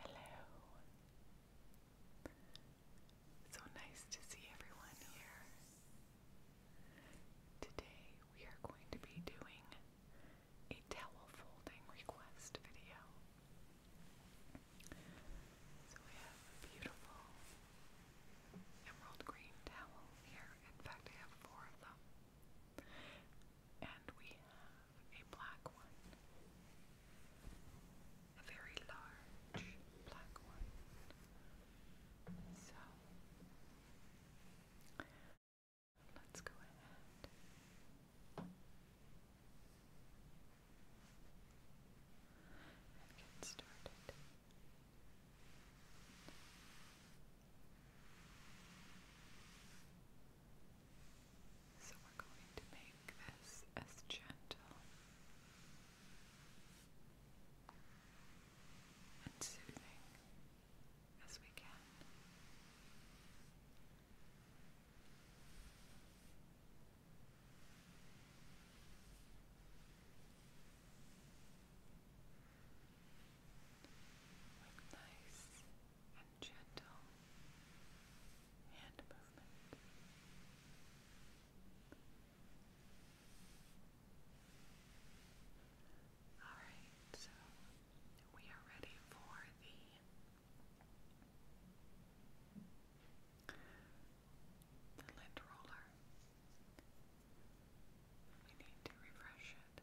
Hello. So nice to see everyone here. Today we are going to be doing a towel folding request video. So we have a beautiful emerald green towel here. In fact, I have four of them. And we have a black one, a very large black one. So let's go ahead and get started. So we're going to make this as gentle and soothing as we can. nice and gentle hand movement. Alright, so we are ready for the, the lint roller. We need to refresh it.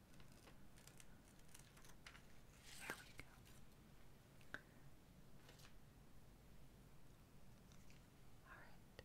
There we go. All right. All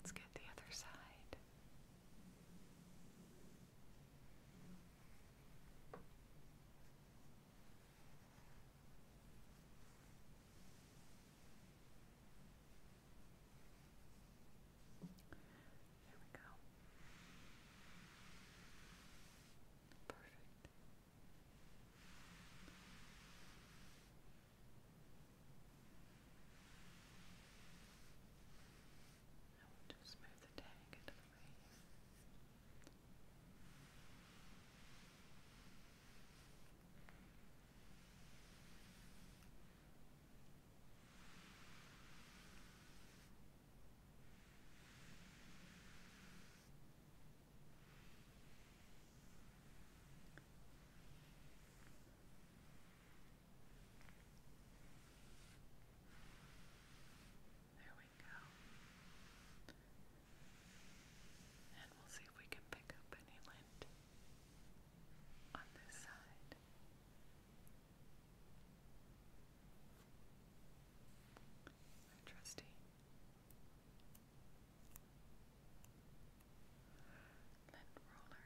Let's get the other side. There we go. Perfect. I will just move the tag out the way there we go. And we'll see if we can pick up any lint on this side. trusty lint roller. Now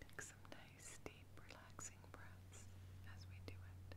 Take some nice, deep, relaxing breaths as we do it.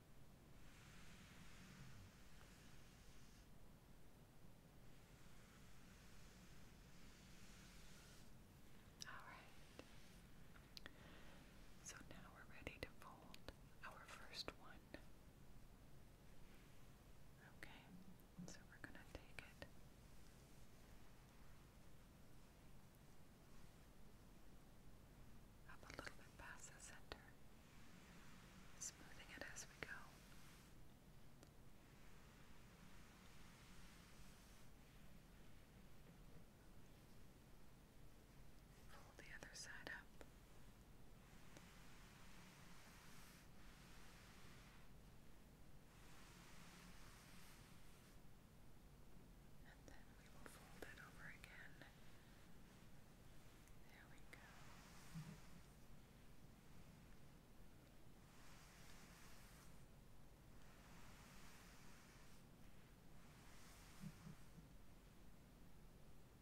Alright. So now we're ready to fold our first one. Okay, so we're going to take it. Up a little bit past the center smoothing it as we go. Fold the other side up. And then we will fold it over again. There we go.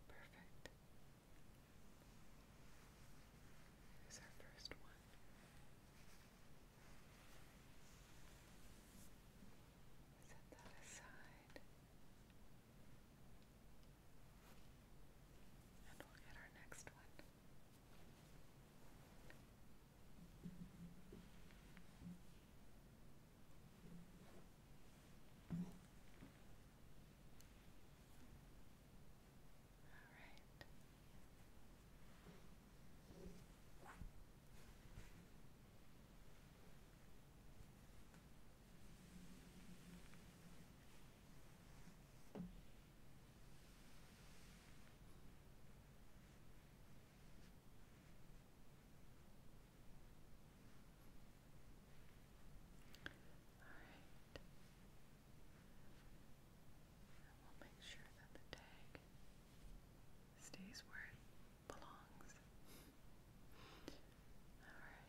Perfect. Here's our first one. Set that aside. And we'll get our next one we'll make sure that the tag stays where it belongs. Alright.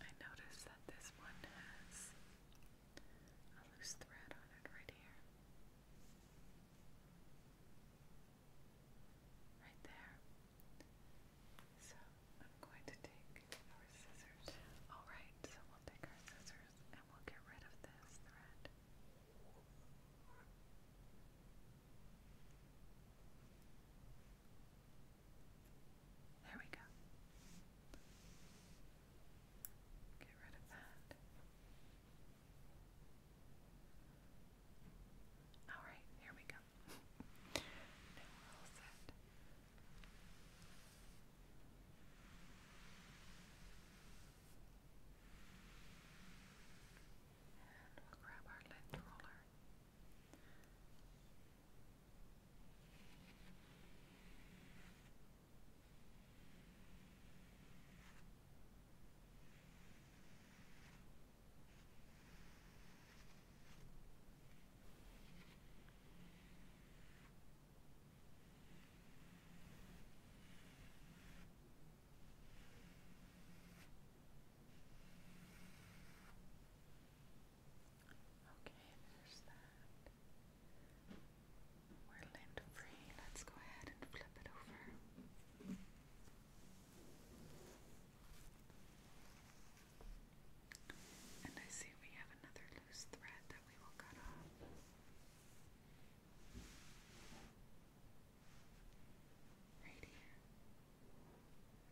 I noticed that this one has a loose thread on it right here. Right there. So I'm going to take our scissors. Alright, so we'll take our scissors and we'll get rid of this thread. There we go. Get rid of that. All right, here we go. now we're all set. And we'll grab our lint roller. Okay, there's that. We're lint free. Let's go ahead and flip it over. And I see we have another loose thread that we will cut off. Right here.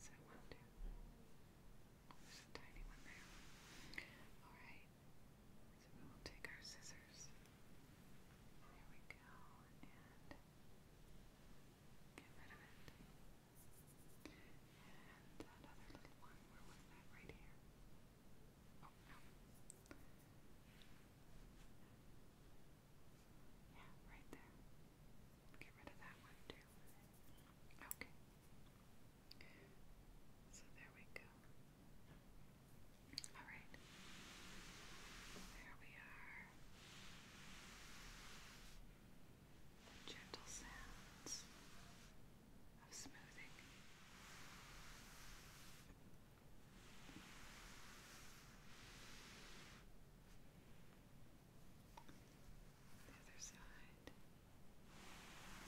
Is that one, two? Oh, there's a tiny one there. Alright. So we will take our scissors. There we go. And get rid of it. And that little one, where was that? Right here. Oh, yeah, right there. Get rid of that one too. Okay. So there we go. Alright. There we are. gentle sounds of smoothing. The other side. All right.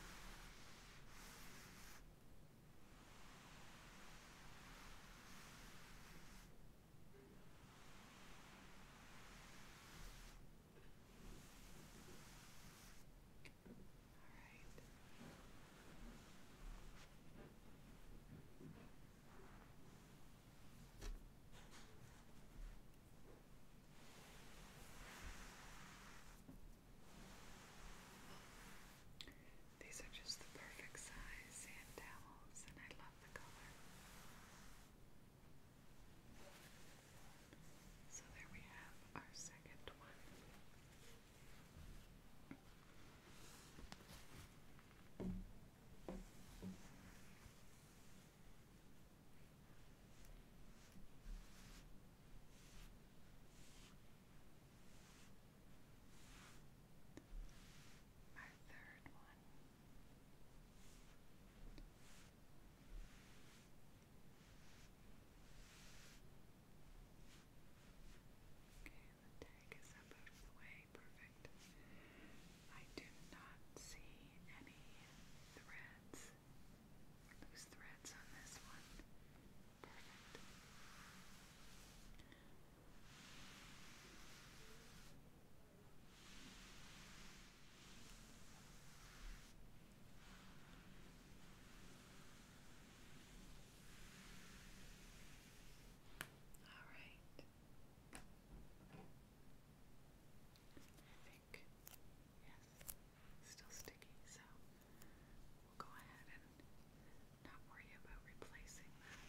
These are just the perfect size sand and I love the color. So there we have our second one. Our third one okay and the out of the way. Perfect. I do not see any threads, loose threads on this one. Perfect. All right. I think, yes, still sticky, so we'll go ahead and not worry about replacing that.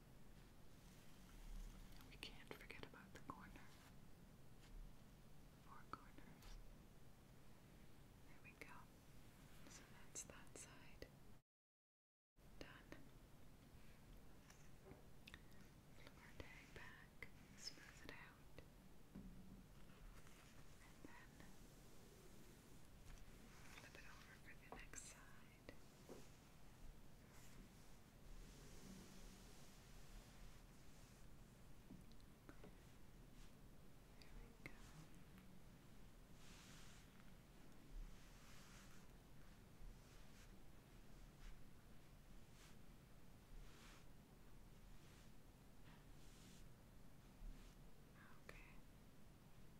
And we can't forget about the corner. Four corners. There we go. So that's that side. Done. Flip our tag back, smooth it out. And then flip it over for the next side. There we Okay.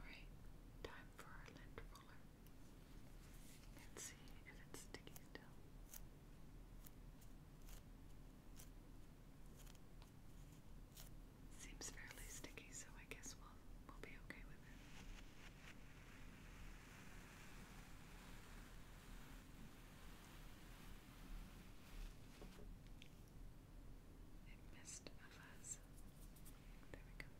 Alright, time for our lint roller. Let's see if it's sticky still. Seems fairly sticky, so I guess we'll we'll be okay with it. It missed a fuzz. There we go. Okay.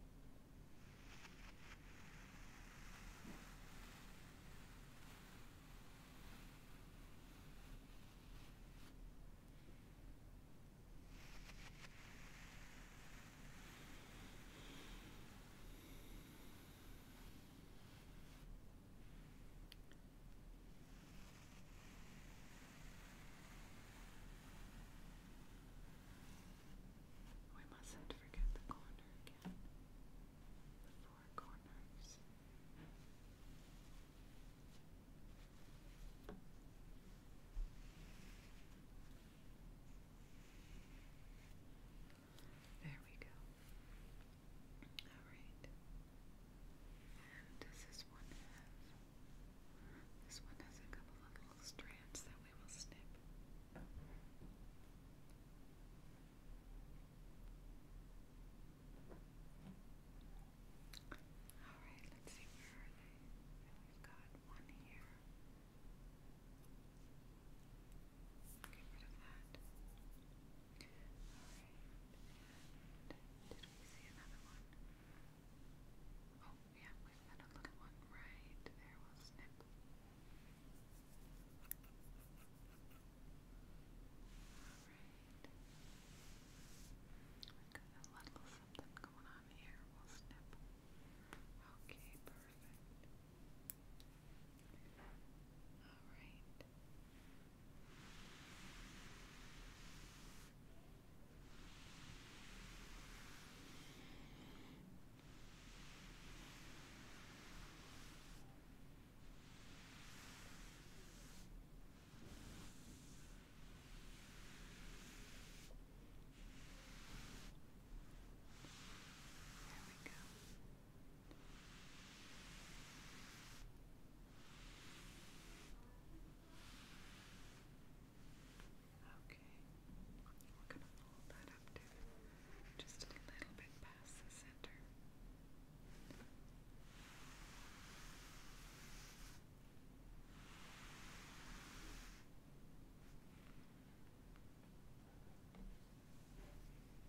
We mustn't forget the corner again. The four corners. There we go. Alright. And does this one This one has a couple of little strands that we will snip. Alright, let's see where are they. We've got one here. Get rid of that. Alright, and did we see another one? Oh, yeah, we've got a little one right there. We'll snip. Alright. We've got a little something going on here. We'll snip. Okay, perfect. All right. There we go. Okay, we're going to fold that up to just a little bit past the center. All right, and then fold it.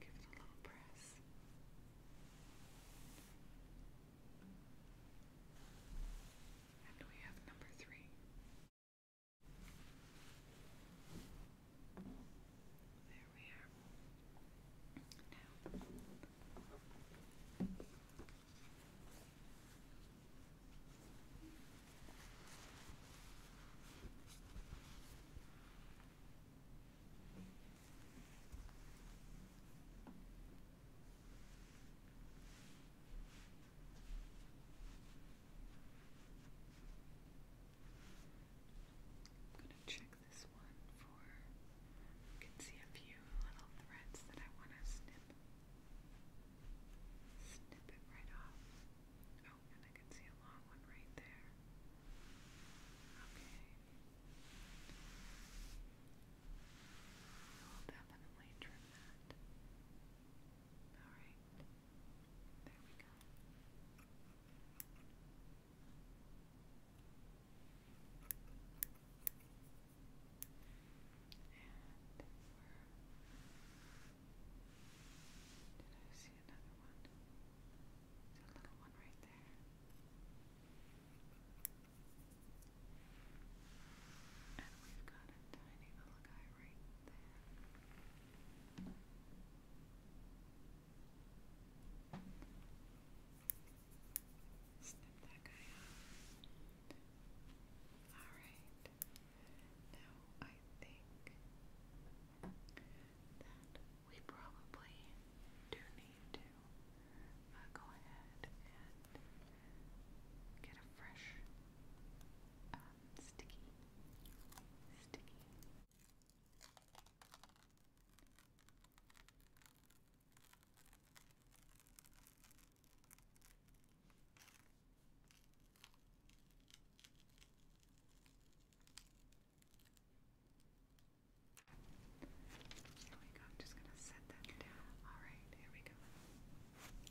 Give it a little press. And we have number three. There we are. Now, I'm going to check this one for. You can see a few little threads that I want to snip. Snip it right off. Oh, and I can see a long one right there. Okay. We'll definitely trim that. Alright. There we go. And we did I see another one? There's a little one right there. And we've got a tiny little guy right there. Snip that guy off. Alright. Now, I think that we probably do need to uh, go ahead and get a fresh um, sticky, sticky. There we go. I'm just gonna set that down. All right, here we go. Okay,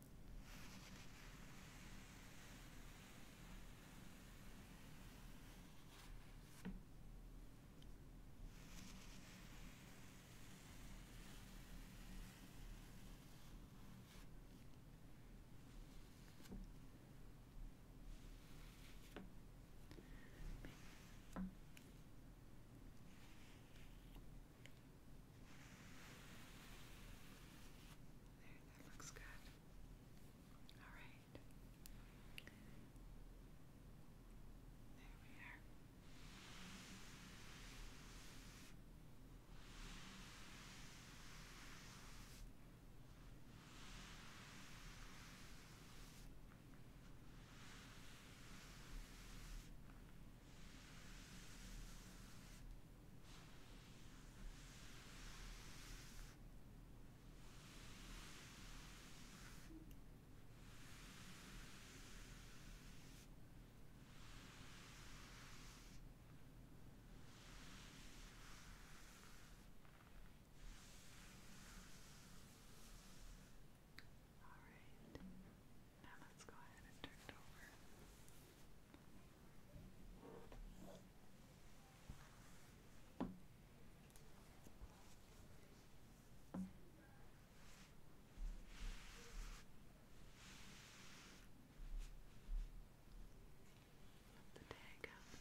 There, that looks good. Alright. There we are. Okay. All right. Now let's go ahead and turn it over. Let the tag out. There it goes. Good.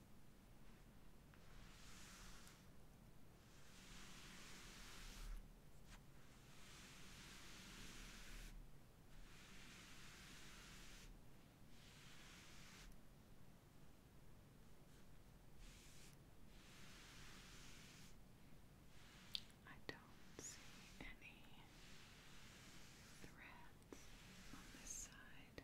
I don't see any threads on this side.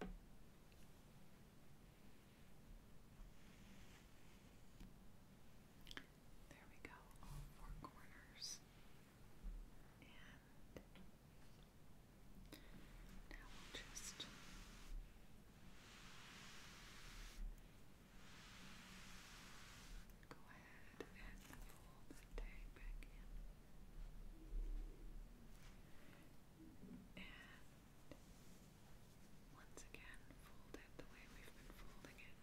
There we go, all four corners. And now we'll just go ahead and fold the tag back in. And once again, fold it the way we've been folding it.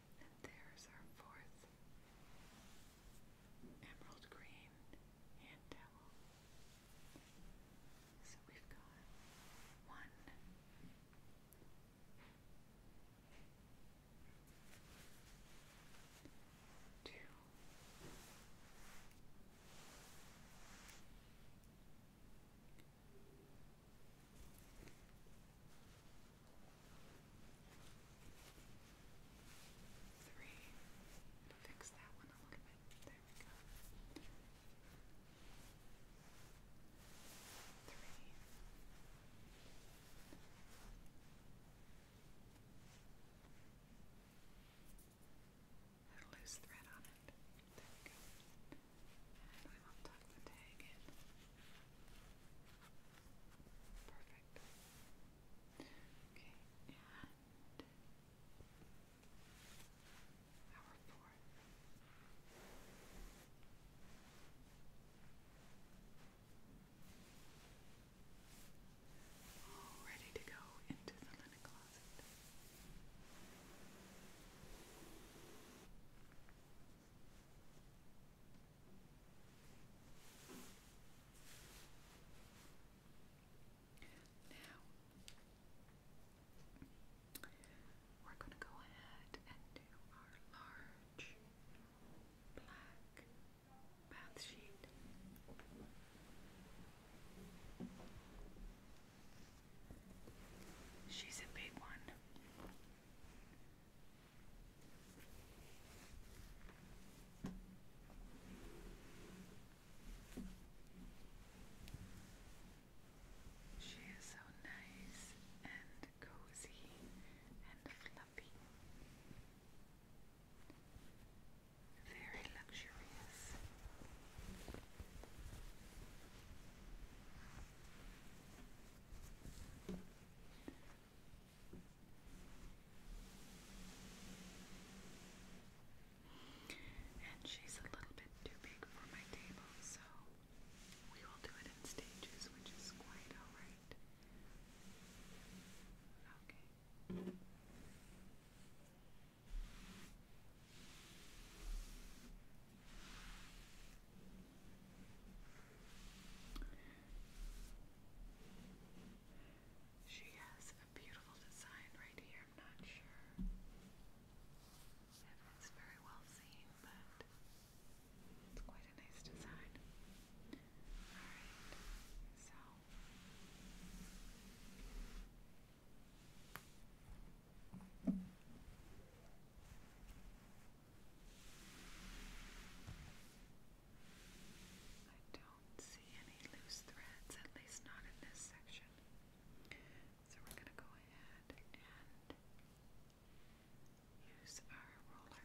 And there's our fourth emerald green hand towel. So we've got one, two, Three, three. Fix that one a little bit. There we go. Three. Put loose thread on it. There we go. And we will tuck the tag in. Perfect. Okay, and our fourth. ready to go into the linen closet we're going to go ahead and do our large black bath sheet. She's a big one. She is so nice and cozy and fluffy. Very luxurious. And she's a little bit too big for my table, so we will do it in stages, which is quite alright. Okay. She has a beautiful design right here, I'm not sure if it's very well seen, but it's quite a nice design. Alright, so I don't see any loose threads, at least not in this section. So we're going to go ahead and use our roller.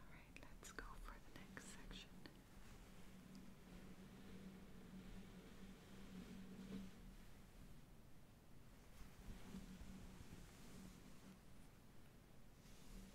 All right, let's go for the next section.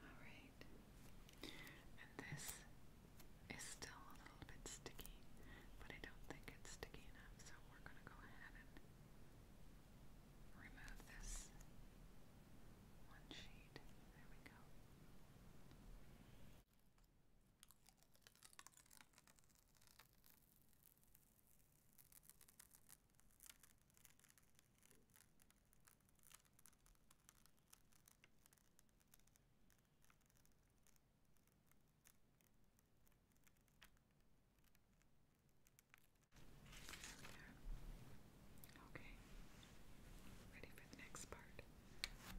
Alright. And this is still a little bit sticky, but I don't think it's sticky enough, so we're going to go ahead and remove this one sheet. There we go. There. Okay. Ready for the next part. Okay.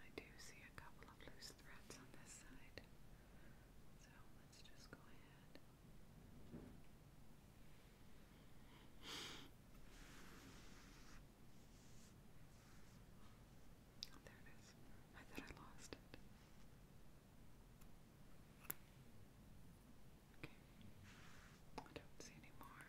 I do see a couple of loose threads on this side, so let's just go ahead. Oh, there it is. I thought I lost it. Okay. I don't see any more.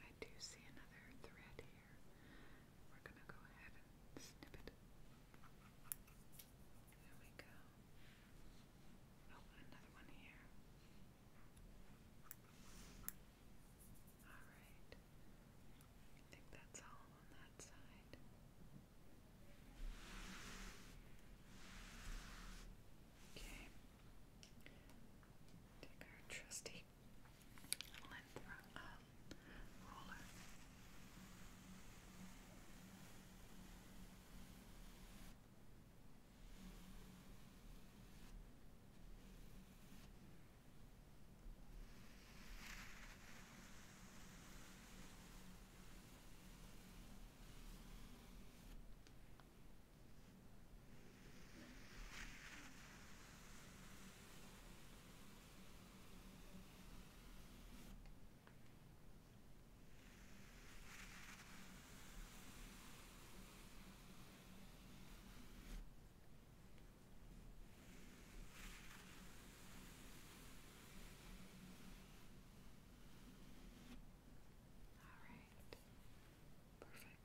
Okay, I do see another thread here. We're gonna go ahead and snip it. There we go. Oh, another one here. Alright. I think that's all on that side. Okay. Take our trusty length uh, roller. All right.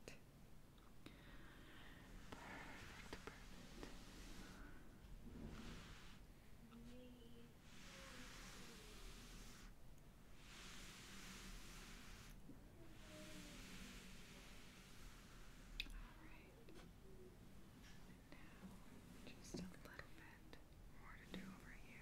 Perfect. Perfect, perfect. Alright. Now just a little bit more to do over here.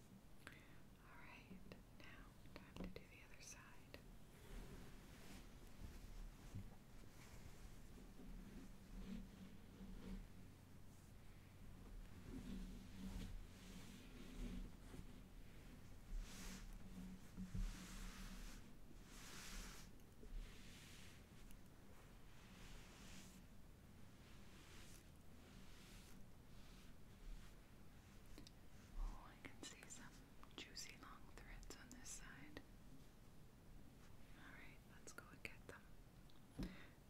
Alright, now time to do the other side. Oh, I can see some juicy long threads on this side. Alright, let's go get them.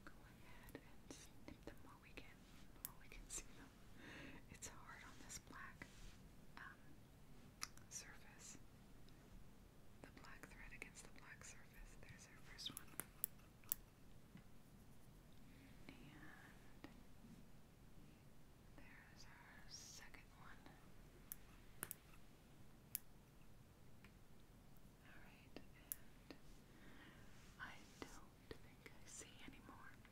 Go ahead and snip them while we can, while we can see them. It's hard on this black um, surface. The black thread against the black surface. There's our first one. And there's our second one. Alright, I don't think I see any Alright.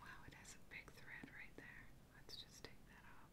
Wow, it has a big thread right there. Let's just take that off.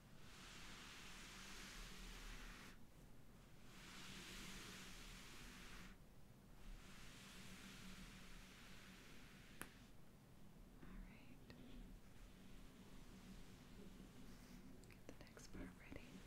Get the next part ready. Okay.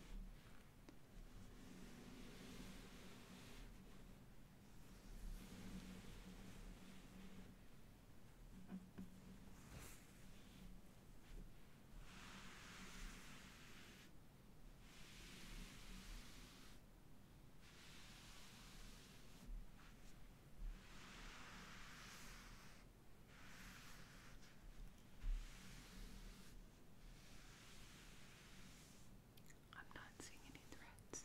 I'm not seeing any threads.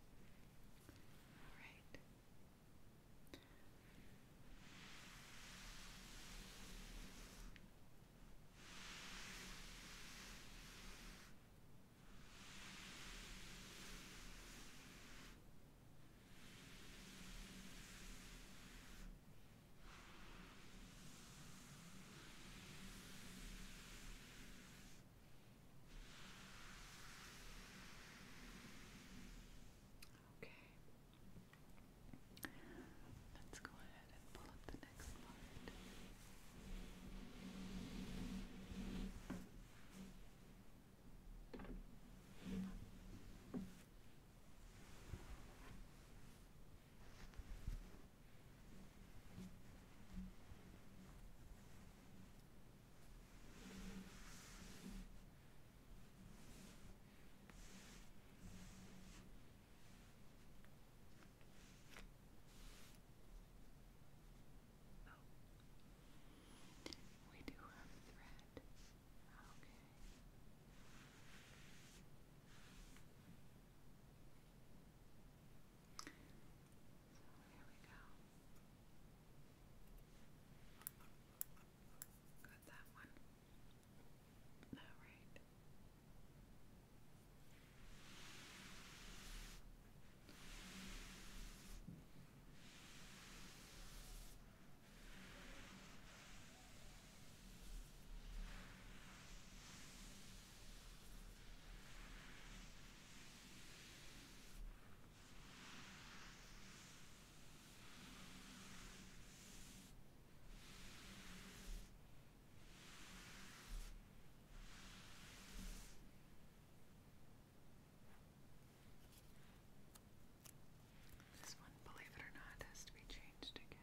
All right. All Okay. Let's go ahead and pull up the next part. Oh. We do have thread. Okay. So here we go. Got that one. Alright. Okay. This one, believe it or not, has to be changed again.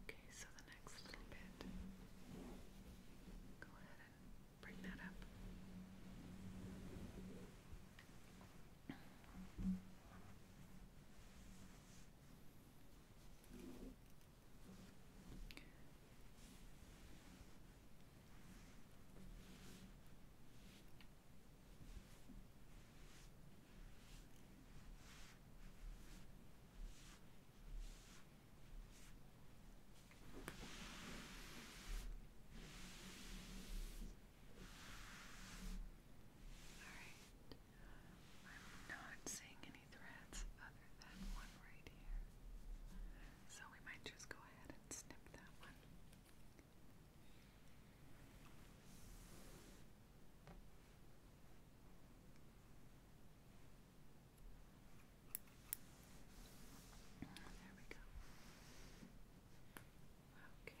Okay, so the next little bit, go ahead and bring that up. Alright. I'm not seeing any threads other than one right here. So we might just go ahead and snip that one. There we go. Okay. Okay.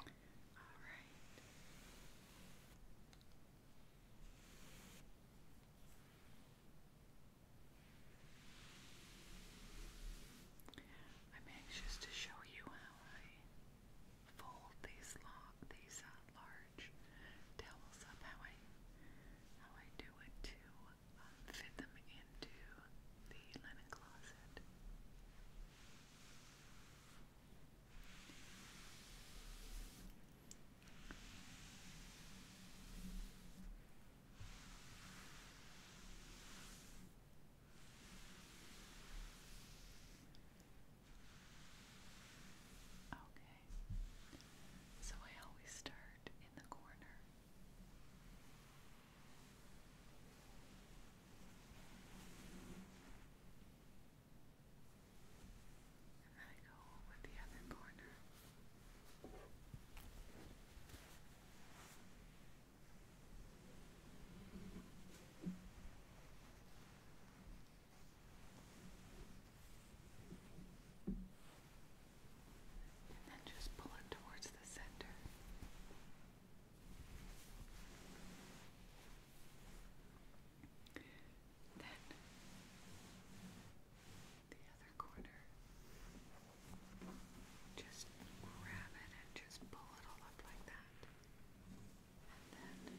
right. I'm anxious to show you how I fold these uh, large towels up. How I how I do it to um, fit them in into the linen closet. Okay, so I always start in the corner and then go with the other corner. And then just pull it towards the center. Then the other corner. Just grab it and just pull it all up like that. And then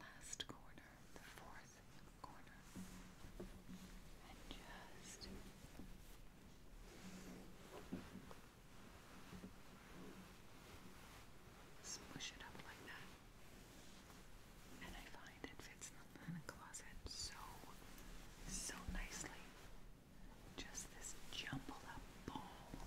last corner, the fourth corner. And just Smush it up like that. And I find it fits in the closet so, so nicely. Just this jumbled up ball.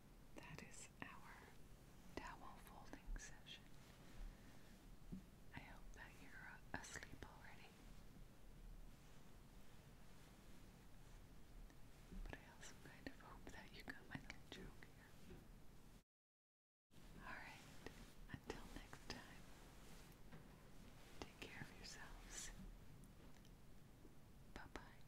That is our towel folding session. I hope that you're asleep already. But I also kind of hope that you got my little joke here. Alright, until next time, take care of yourselves. Bye bye.